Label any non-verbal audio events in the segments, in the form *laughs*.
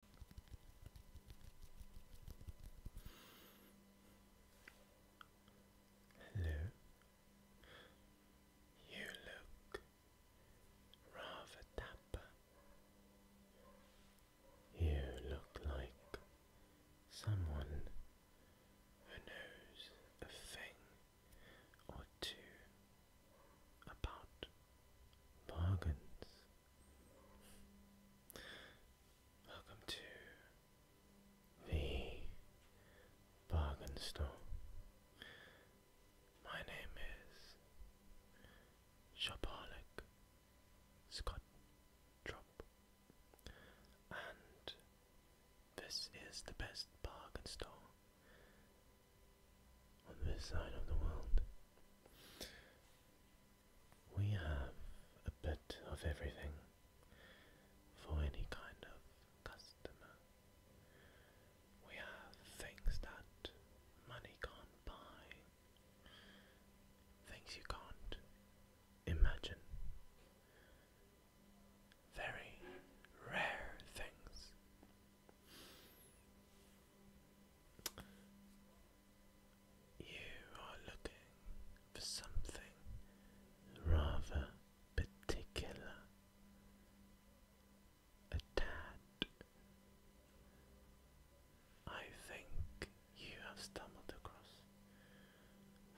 Hello. You look rather dapper. You look like someone who knows a thing or two about bargains. Welcome to the bargain store. My name is Shopaholic Scott Drop, and this is the best bargain store on this side of the world. We have a bit of everything for any kind of customer. We have things that money can't buy, things you can't imagine, very rare things you are looking for something rather particular. A tad. I think you have stumbled across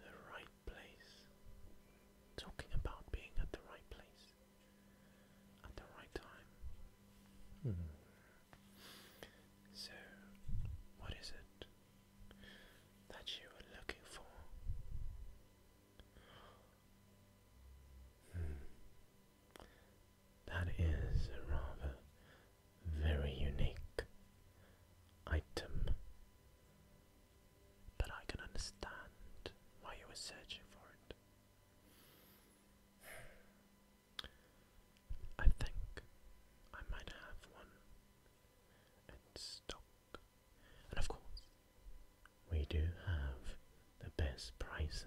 the right place. Talking about being at the right place at the right time. Mm-hmm. So, what is it that you were looking for? Hmm. That is a rather very unique item, but I can understand why you were searching for it. I think I might have one in stock. And of course, we do have the best prices.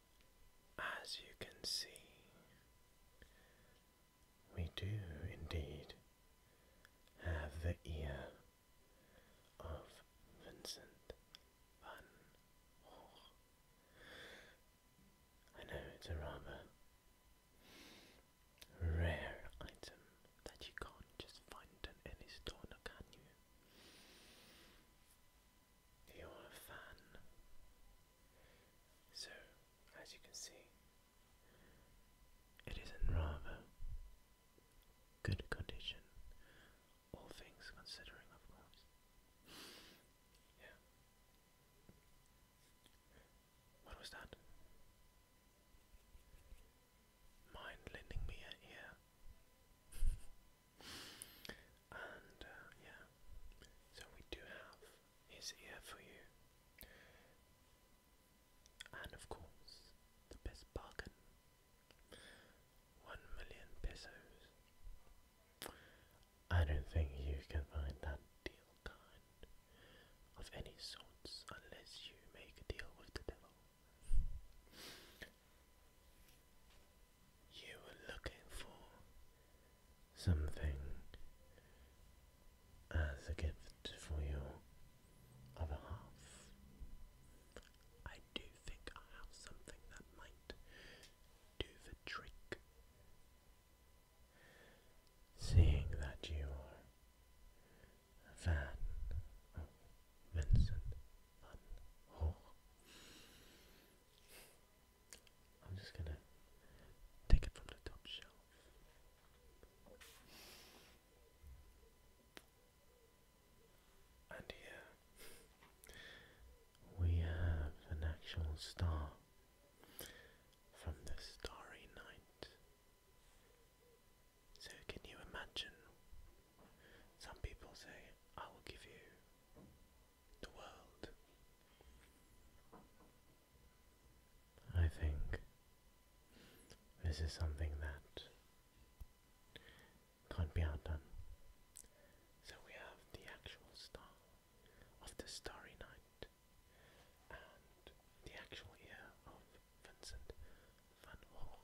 As you can see, we do indeed have the ear of Vincent van Gogh. I know it's a rather rare item that you can't just find in any store, now, can you? you're a fan. So, as you can see, it is in rather good condition, all things considering, of course. Yeah. What was that? Mind lending me an ear. *laughs* And uh, yeah, so we do have his ear for you. And of course, the best bargain. One million pesos. I don't think you can find that deal kind of any sorts unless you make a deal with the devil you were looking for something as a gift for your other half. I do think I have something that might do the trick. Seeing that you are a fan of Vincent van Gogh, I'm just gonna take it from the top shelf. And here we have an actual star from the starry night. So, can you imagine some people say, I will give you the world. I think this is something that can't be outdone. So we have the actual star of the Starry Night and the actual year of Vincent van Gogh.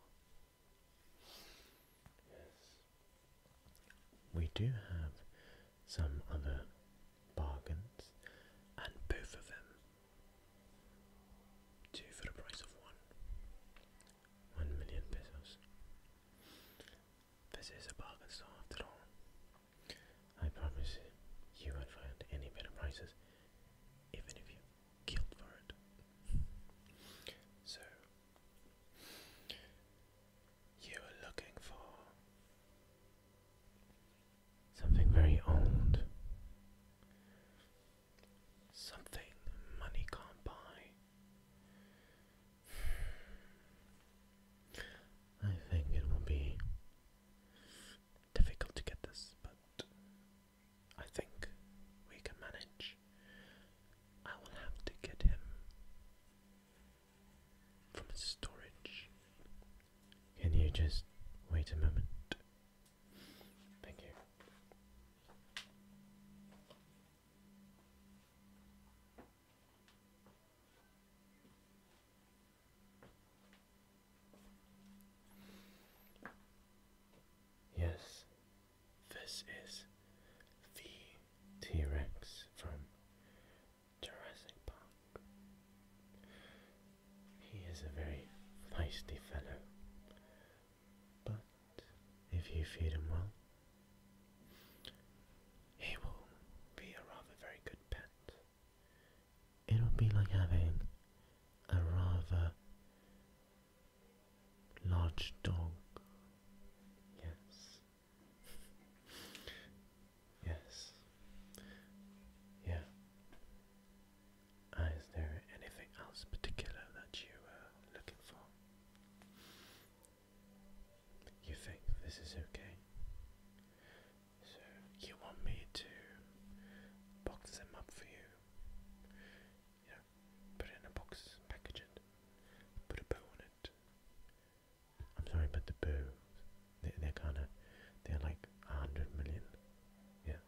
We do have some other bargains, and both of them two for the price of one. One million pesos. This is a bargain store after all. I promise you, won't find any better prices, even if you killed for it. So, you are looking for something very old, something money can't buy. I think it will be difficult to get this, but I think we can manage. I will have to get him from storage. Can you just wait a moment? Thank you. Yes, this is the T Rex from Jurassic Park. He is a very feisty fellow, but if you feed him well, he will be a rather very good pet it would be like having a rather large dog. Yes. *laughs* yes. Yeah. Uh, is there anything else particular that you are uh, looking for? You think this is okay? So you want me to box them up for you? You put in a box, package put a bow on it. I'm sorry, but the bow, they're kind of, they're like a hundred million. Yeah,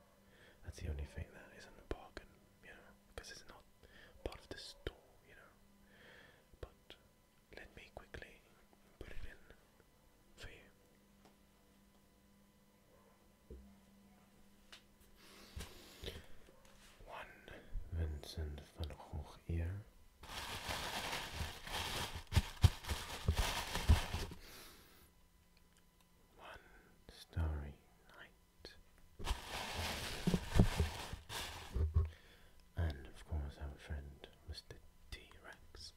that's the only thing that isn't a bargain, you know, because it's not part of the store, you know. But let me quickly put it in for you. One Vincent van Gogh ear. One starry night. And of course, our friend Mr. T Rex.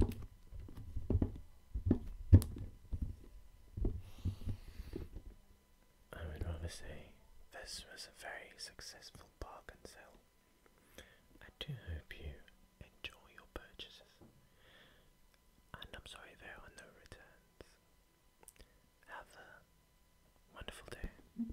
I would rather say this was a very successful bargain sale. I do hope you enjoy your purchases, and I'm sorry there are no returns. Have a wonderful day.